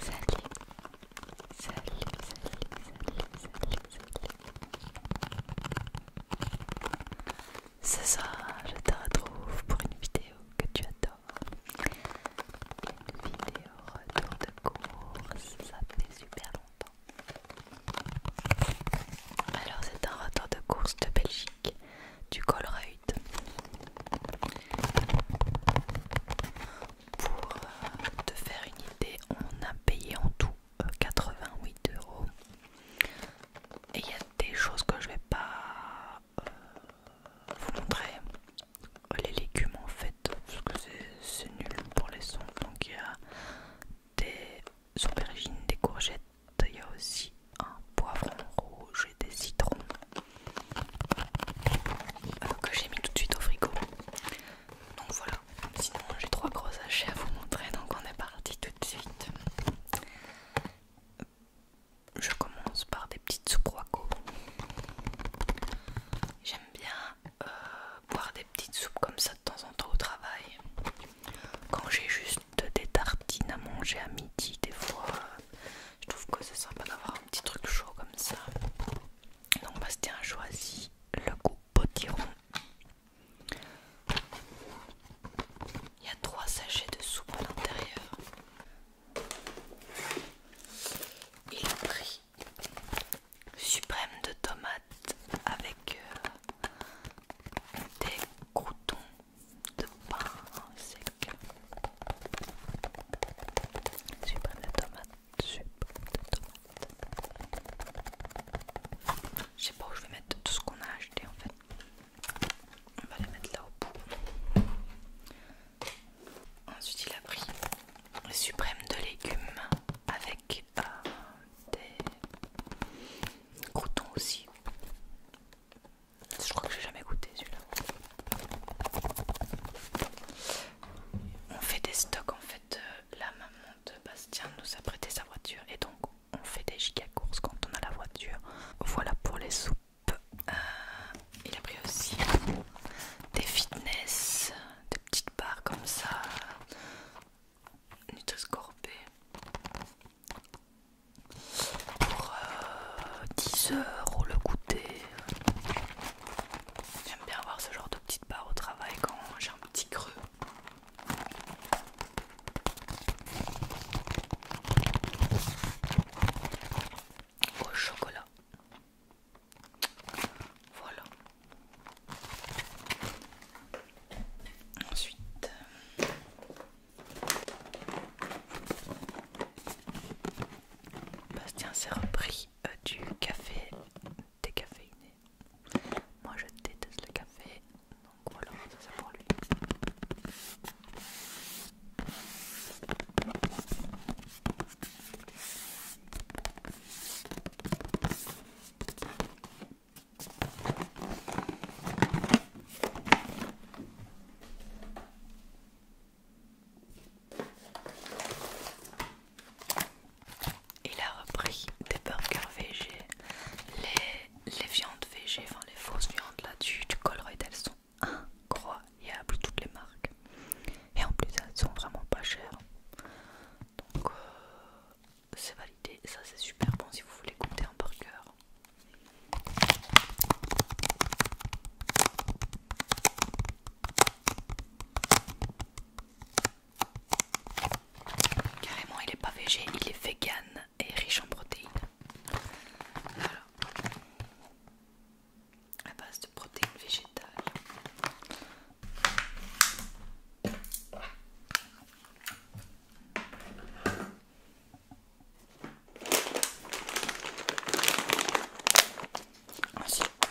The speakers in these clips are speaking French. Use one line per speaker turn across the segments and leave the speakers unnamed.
Salut, ça Ce soir, je te retrouve pour une vidéo que tu adores. Une vidéo retour de course, ça fait super longtemps. Alors c'est un raton de course de Belgique du Colruyt pour euh, te faire une idée on a payé en tout 88 euh, euros et il y a des choses que je vais pas euh, vous montrer les légumes en fait parce que c'est nul pour les sons donc il y a des l'aubergine, des courgettes, il y a aussi un poivron rouge et des citrons que j'ai mis tout de suite au frigo. Donc voilà, sinon j'ai trois gros sachets à vous montrer, donc on est parti tout de suite. Je commence par des petites soupes Roaco J'aime bien euh, boire des petites soupes comme ça de temps en temps au travail quand j'ai juste des tartines à manger à midi, des fois, je trouve que c'est sympa d'avoir un petit truc chaud comme ça. Donc Bastien a choisi le goût potiron. Il y a trois sachets de soupe à l'intérieur. Il a pris suprême de tomates avec euh, des croutons de pain sec, suprême de tomate, suprême de tomate. Je sais pas où je vais mettre tout ce qu'on a acheté en fait. On va les mettre là au bout. Ensuite, il a pris suprême de légumes avec euh, des Croutons aussi. Je crois que j'ai jamais goûté celui-là. On fait des stocks en fait. Euh, la maman de Bastien nous a prêté sa voiture et donc on fait des giga courses quand on a la voiture. Voilà pour les soupes. Euh, il a pris aussi des fitness, des petites barres comme ça, nutri pour 10 euh, heures au le goûter. J'aime bien avoir ce genre de petite barre au travail quand j'ai un petit creux. Au chocolat. Voilà. Ensuite, Bastien s'est repris euh, du café décaféiné. Moi je déteste le café, donc voilà, ça c'est pour lui. Il a repris des burgers VG, les, viandes VG, enfin les fausses viandes là dessus du Colruyt, elles sont incroyables, toutes les marques. Et en plus, elles sont vraiment pas chères. Donc, euh, c'est validé. Ça, c'est super bon si vous voulez compter en par cœur. Carrément, il est pas végé, il est vegan et riche en protéines. la À base de protéines végétales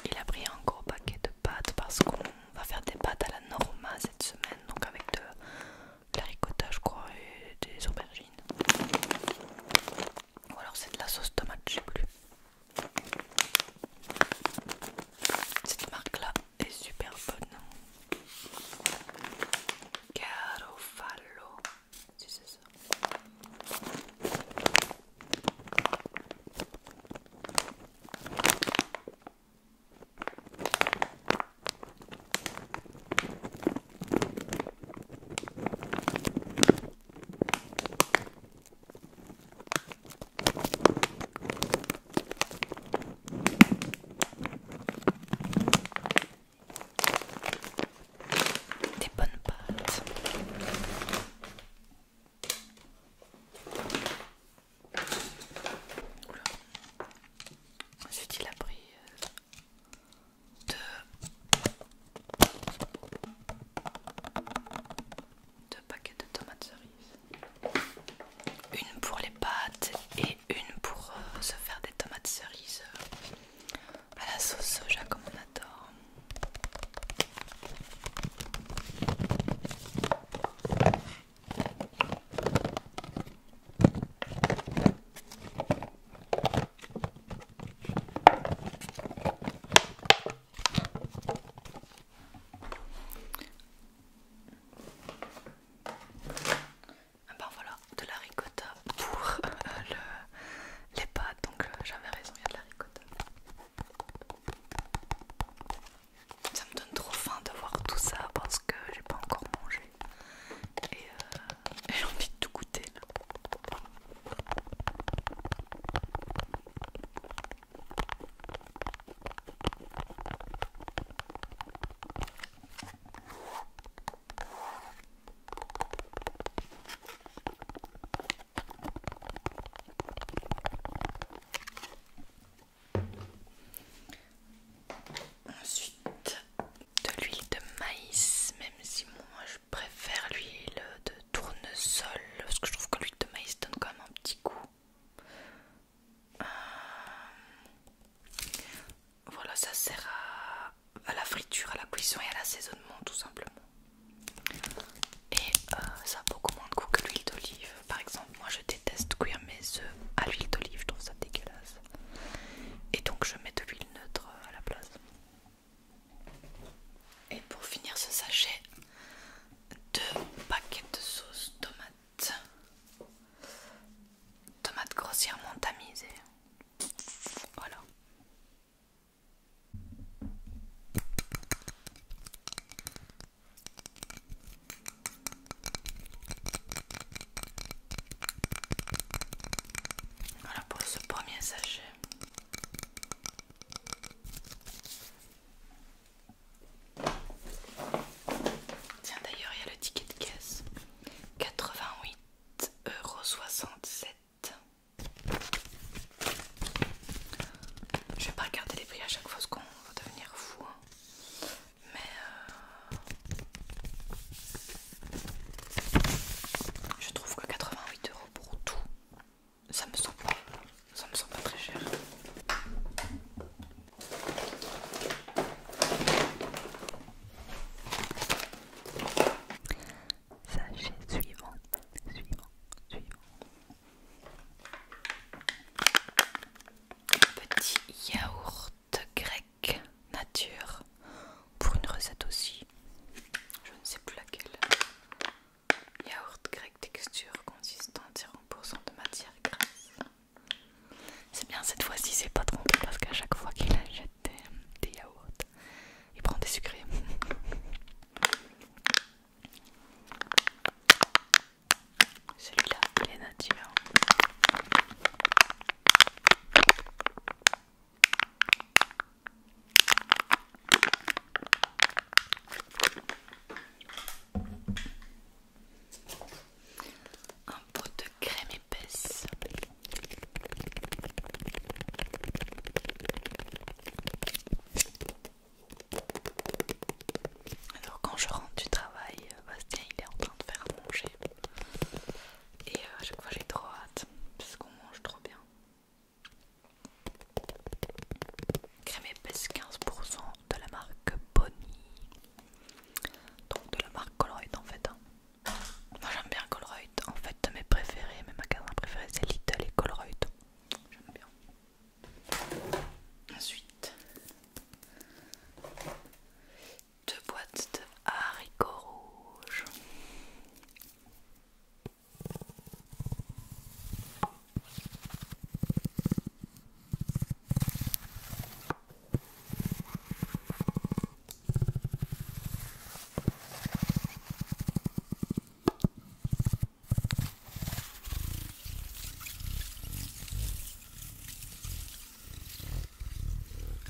il a pris un gros paquet de pâtes parce qu'on va faire des pâtes à la norma cette semaine, donc avec de, la ricottage je crois, et des aubergines. Ou alors c'est de la sauce tomate, je sais plus. Cette marque là, est super bonne. Caroffalo, hein. si c'est ça. Des bonnes pâtes. J'ai dit il a pris euh, deux, deux paquets de tomates cerises une pour les pâtes et une pour euh, se faire des tomates cerises euh, à la sauce soja comme on adore. Ah ben voilà, de la ricotta pour euh, les pâtes, donc euh, j'avais raison, il y a de la ricotta. Ça me donne trop faim de voir tout ça parce que j'ai pas encore mangé et, euh, j'ai envie de tout goûter là. Ensuite, de l'huile de maïs, même si moi je préfère l'huile de tournesol parce que je trouve que l'huile de maïs donne quand même un petit goût euh, voilà, ça sert à, la friture, à la cuisson et à l'assaisonnement tout simplement. Et euh, ça a beaucoup moins de goût que l'huile d'olive. Par exemple, moi je déteste cuire mes œufs à l'huile d'olive, je trouve ça dégueulasse. Et donc je mets de l'huile neutre euh, à la place. Et pour finir ce sachet, deux paquets de sauce tomate tomates grossièrement tamisée. Voilà. Voilà pour ce premier sachet. Tiens d'ailleurs il y a le ticket de caisse. 88,67€. Je vais pas regarder les prix à chaque fois parce qu'on va devenir fou. Hein. Mais euh, je trouve que 88 euros pour tout, ça me semble ça me semble pas très cher. Sachez suivant, suivant, suivant. Petit yaourt grec nature pour une recette aussi. Je ne sais plus laquelle. Yaourt grec texture consistante 0% de matière grasse. C'est bien, cette fois-ci, c'est pas trompé parce qu'à chaque fois qu'il achète des, des yaourts, il prend des sucrés. Celui-là, il est nature un pot de crème épaisse alors quand je rentre du travail euh, Bastien il est en train de faire manger et euh, à chaque fois j'ai trop hâte parce qu'on mange trop bien crème épaisse 15% de la marque Bonnie donc de la marque Colruyt en fait. Hein. Moi j'aime bien Colruyt, en fait mes préférés, mes magasins préférés c'est Little et Colruyt. J'aime bien. Ensuite, deux boîtes de haricots rouges.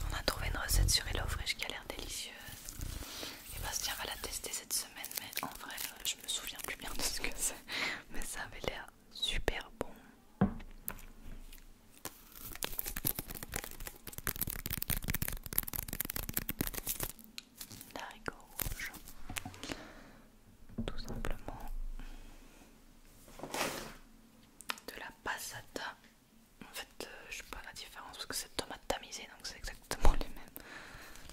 On a trouvé une recette sur HelloFresh qui a l'air délicieuse. Et eh Bastien ben, va la tester cette semaine, mais en vrai, euh, je me souviens plus bien de ce que c'est. Mais ça avait l'air super bon tout simplement de la passata. En fait, euh, je sais pas la différence parce que c'est tomate tamisée donc c'est exactement les mêmes.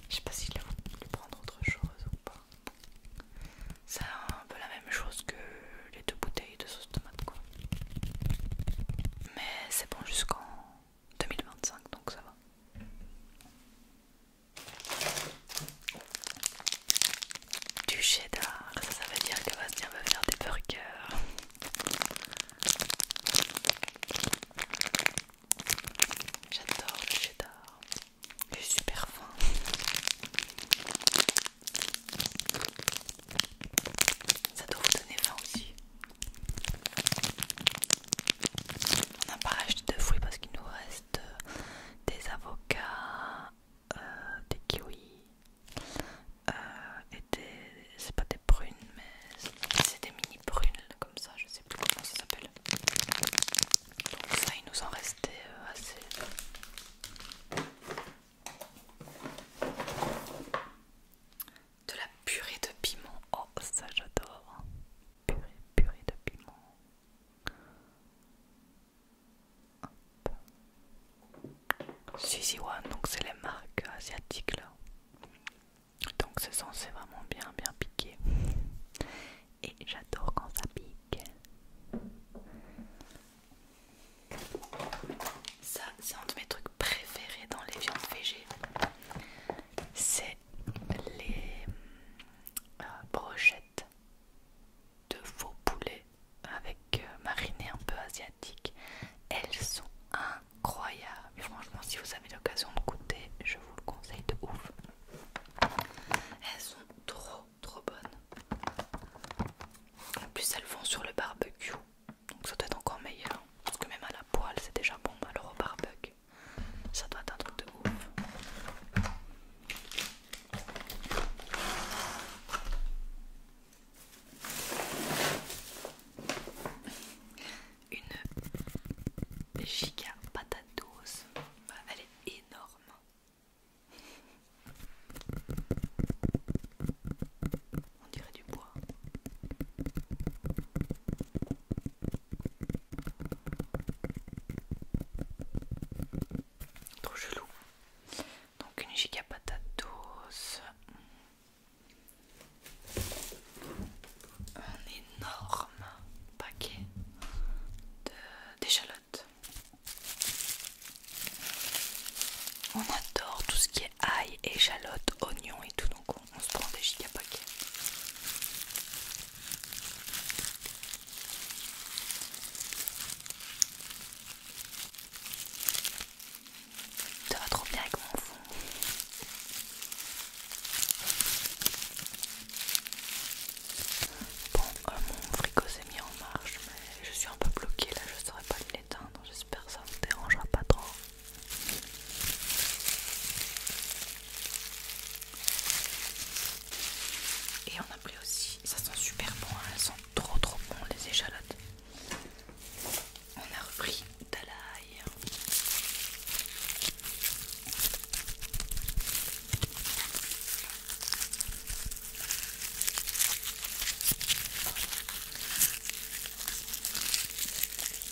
Je sais pas si je vais prendre autre chose ou pas. C'est un peu la même chose que les deux bouteilles de sauce tomate quoi. Mais c'est bon jusqu'en 2025 donc ça va. Du cheddar, ça, ça veut dire que Bastien va faire des burgers. J'adore le cheddar. J'ai super faim. Ça doit vous donner faim aussi. On n'a pas racheté de fruits parce qu'il nous reste euh, des avocats, euh, des kiwis, euh, et des. C'est pas des prunes, mais c'est des mini prunes comme ça, je sais plus comment ça s'appelle. Donc ça, il nous en restait assez. De la purée de piment. Oh, ça j'adore. Purée, purée de piment. donc c'est les marques asiatiques là. Donc c'est censé vraiment bien, bien piquer. Et j'adore quand ça pique. Ça, c'est un de mes trucs préférés dans les viandes végé. C'est les euh, brochettes de faux poulet avec euh, marinée un peu asiatique. Elles sont incroyables. franchement, si vous avez l'occasion de goûter, je vous le conseille de ouf. Elles sont trop trop bonnes. En plus, elles vont sur le barbecue. Donc ça doit être encore meilleur. Hein. Parce que même à la poêle, c'est déjà bon. Alors au barbecue, ça doit être un truc de ouf. Une giga patate bah, Elle est énorme. On dirait du bois. Trop chelou. Donc une giga patatos. Un énorme paquet d'échalotes. On adore tout ce qui est ail, échalote, oignon et tout, donc on se prend des paquets Ça va trop bien avec mon fond. Bon, euh, mon frigo s'est mis en marche, mais je suis un peu bloquée là, je saurais pas le j'espère que ça vous dérangera pas trop. Et on a pris aussi, ça sent super bon, hein. elles sont trop trop bon les échalotes. On a repris de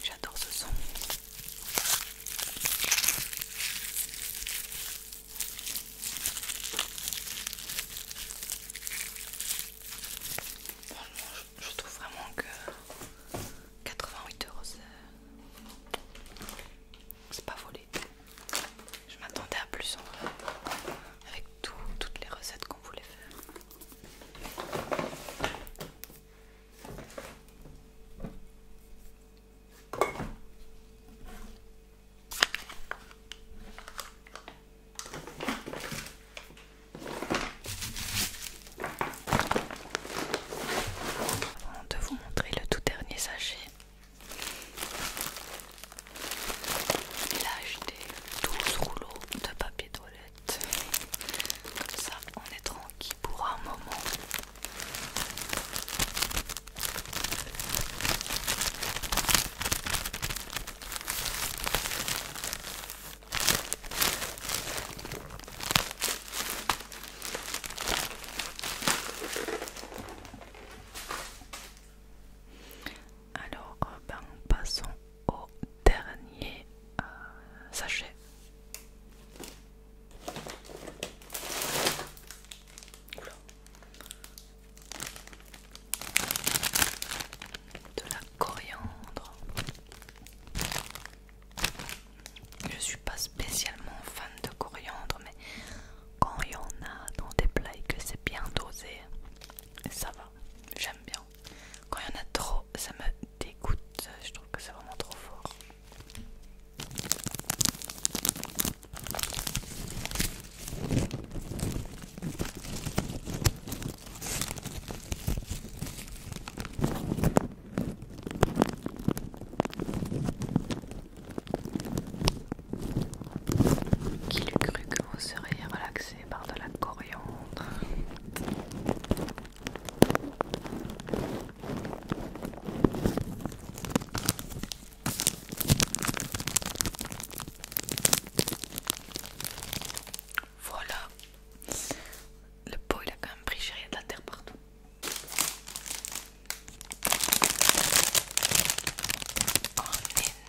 J'adore ce son. je, trouve vraiment que 88 euros, c'est pas volé. Je m'attendais à plus en vrai toutes les recettes qu'on voulait faire. Avant de vous montrer le tout dernier sachet, il a acheté 12 rouleaux de papier toilette. Comme ça, on est tranquille pour un moment. Alors, euh, ben, passons au dernier euh, sachet. De la coriandre. Je suis pas spécialement fan de coriandre, mais quand il y en a dans des plats que c'est bien dosé, ça va j'aime bien. Quand il y en a trop, ça me dégoûte, je trouve que c'est vraiment trop fort. Qui l'eût cru que vous seriez relaxé par de la coriandre Voilà, le pot il a quand même pris chérie, de la terre partout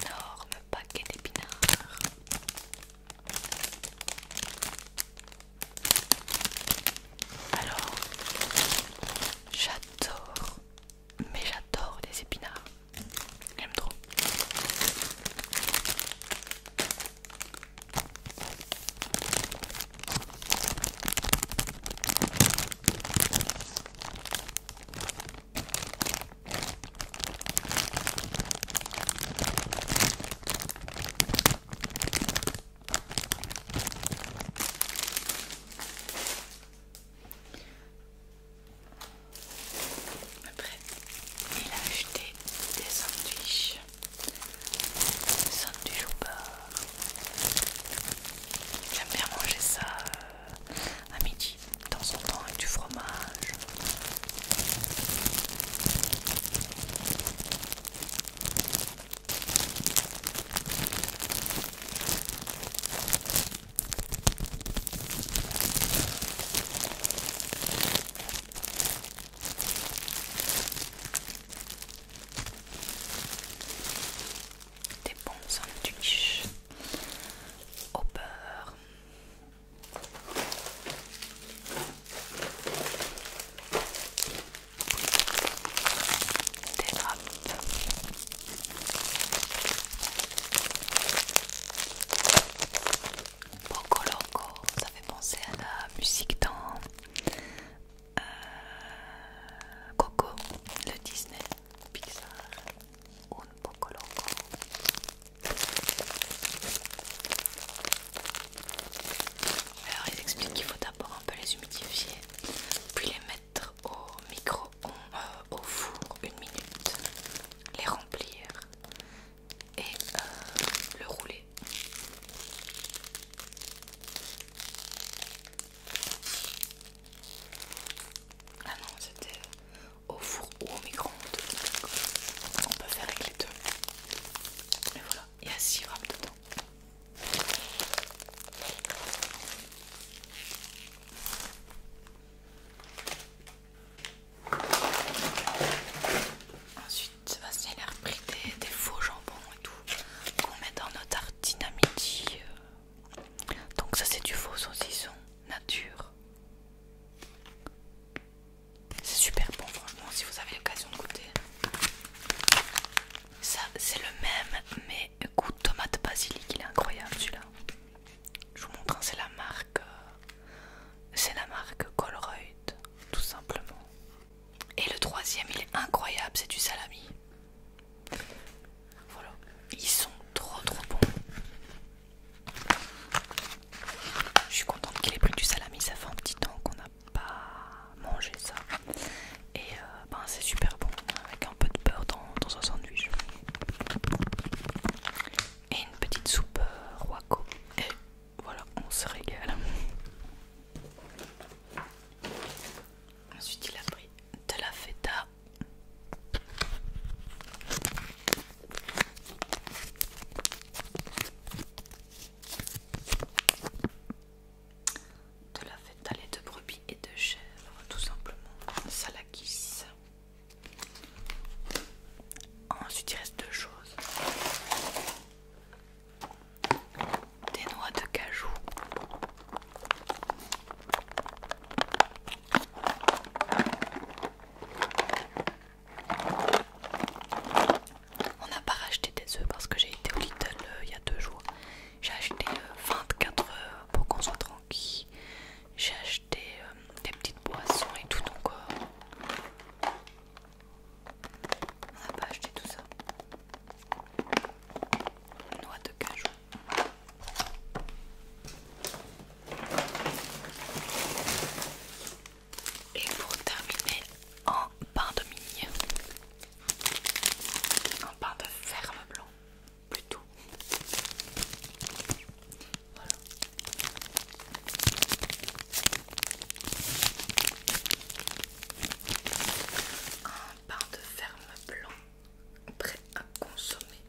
enorme paquet d'épinards. Alors, j'adore, mais j'adore les épinards. J'aime trop. Après, il a acheté des sandwichs, sandwich au beurre. J'aime bien manger ça euh, euh, à midi, de temps en temps, du fromage. Des bons sandwiches au beurre des Poco Loco, ça fait penser à la musique dans euh, Coco, le Disney, Pixar, un Poco Loco. Alors ils expliquent qu'il faut d'abord un peu les humidifier, puis les mettre au micro euh, au four une minute, les remplir et euh, le rouler. Ah non, c'était au four ou au micro-ondes. On peut faire avec les deux. mais voilà, il y a 6 grammes dedans. Ensuite, c'est la reprise des, des faux jambons et tout qu'on met dans notre tartines à Donc ça c'est du faux saucisson nature c'est super bon, franchement, si vous avez l'occasion de goûter. Ça, c'est le même, mais goût tomate basilic, il est incroyable celui-là. Je vous montre, hein, c'est la marque. Euh, c'est la marque Colroyd, tout simplement. Et le troisième, il est incroyable, c'est du salami. Voilà, ils sont trop trop bons. Je suis contente qu'il ait pris du salami, ça fait un petit temps qu'on n'a pas mangé ça. Et euh, ben, c'est super bon, avec un peu de beurre dans, dans sandwich. Et une petite soupe euh, roaco. Et voilà, on se régale. Ensuite, il a pris de la feta de la fête de brebis et de chèvres, tout simplement. Ça la Salakis. Ensuite, il reste deux choses des noix de cajou on n'a pas racheté des œufs parce que j'ai été au Little euh, il y a deux jours. J'ai acheté 24 euh, œufs euh, pour qu'on soit tranquille. J'ai acheté des petites boissons et tout encore on n'a pas acheté tout ça. Noix de cajou. Et pour terminer, en pain de mie, un pain de ferme blanc, plutôt. Voilà. Un pain de ferme blanc prêt à consommer.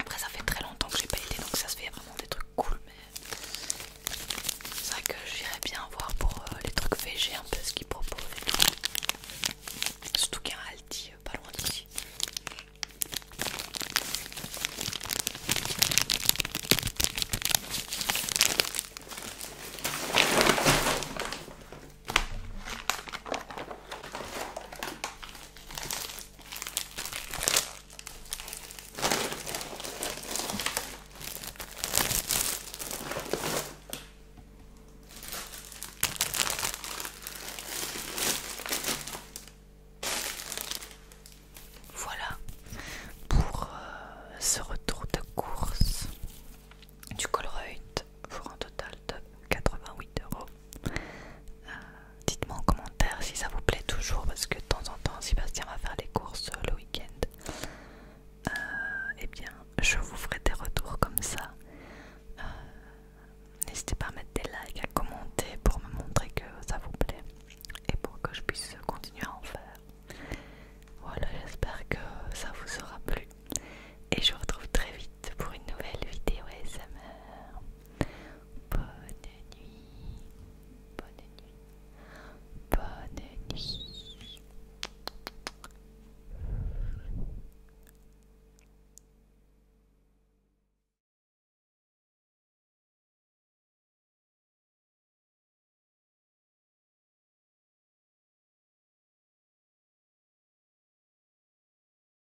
Après ça fait très longtemps que j'ai pas été donc ça se fait vraiment des trucs cool mais c'est vrai que j'irais bien voir pour euh, les trucs végés un peu ce qu'ils proposent tout. Surtout qu'il y a un alti euh, pas loin d'ici. Voilà pour euh, ce retour de course du Colruyt pour un total de 88 euros. Euh, dites-moi en commentaire si ça vous plaît toujours parce que de temps en temps Sébastien va faire les courses le week-end. Et euh, eh bien, je vous ferai des retours comme ça. Euh, n'hésitez pas à mettre des likes, à commenter pour me montrer que ça vous plaît et pour que je puisse continuer à en faire. Voilà, j'espère que ça vous aura plu. Et je vous retrouve très vite pour une nouvelle vidéo ASMR. Bonne nuit. Bonne nuit. Bonne nuit.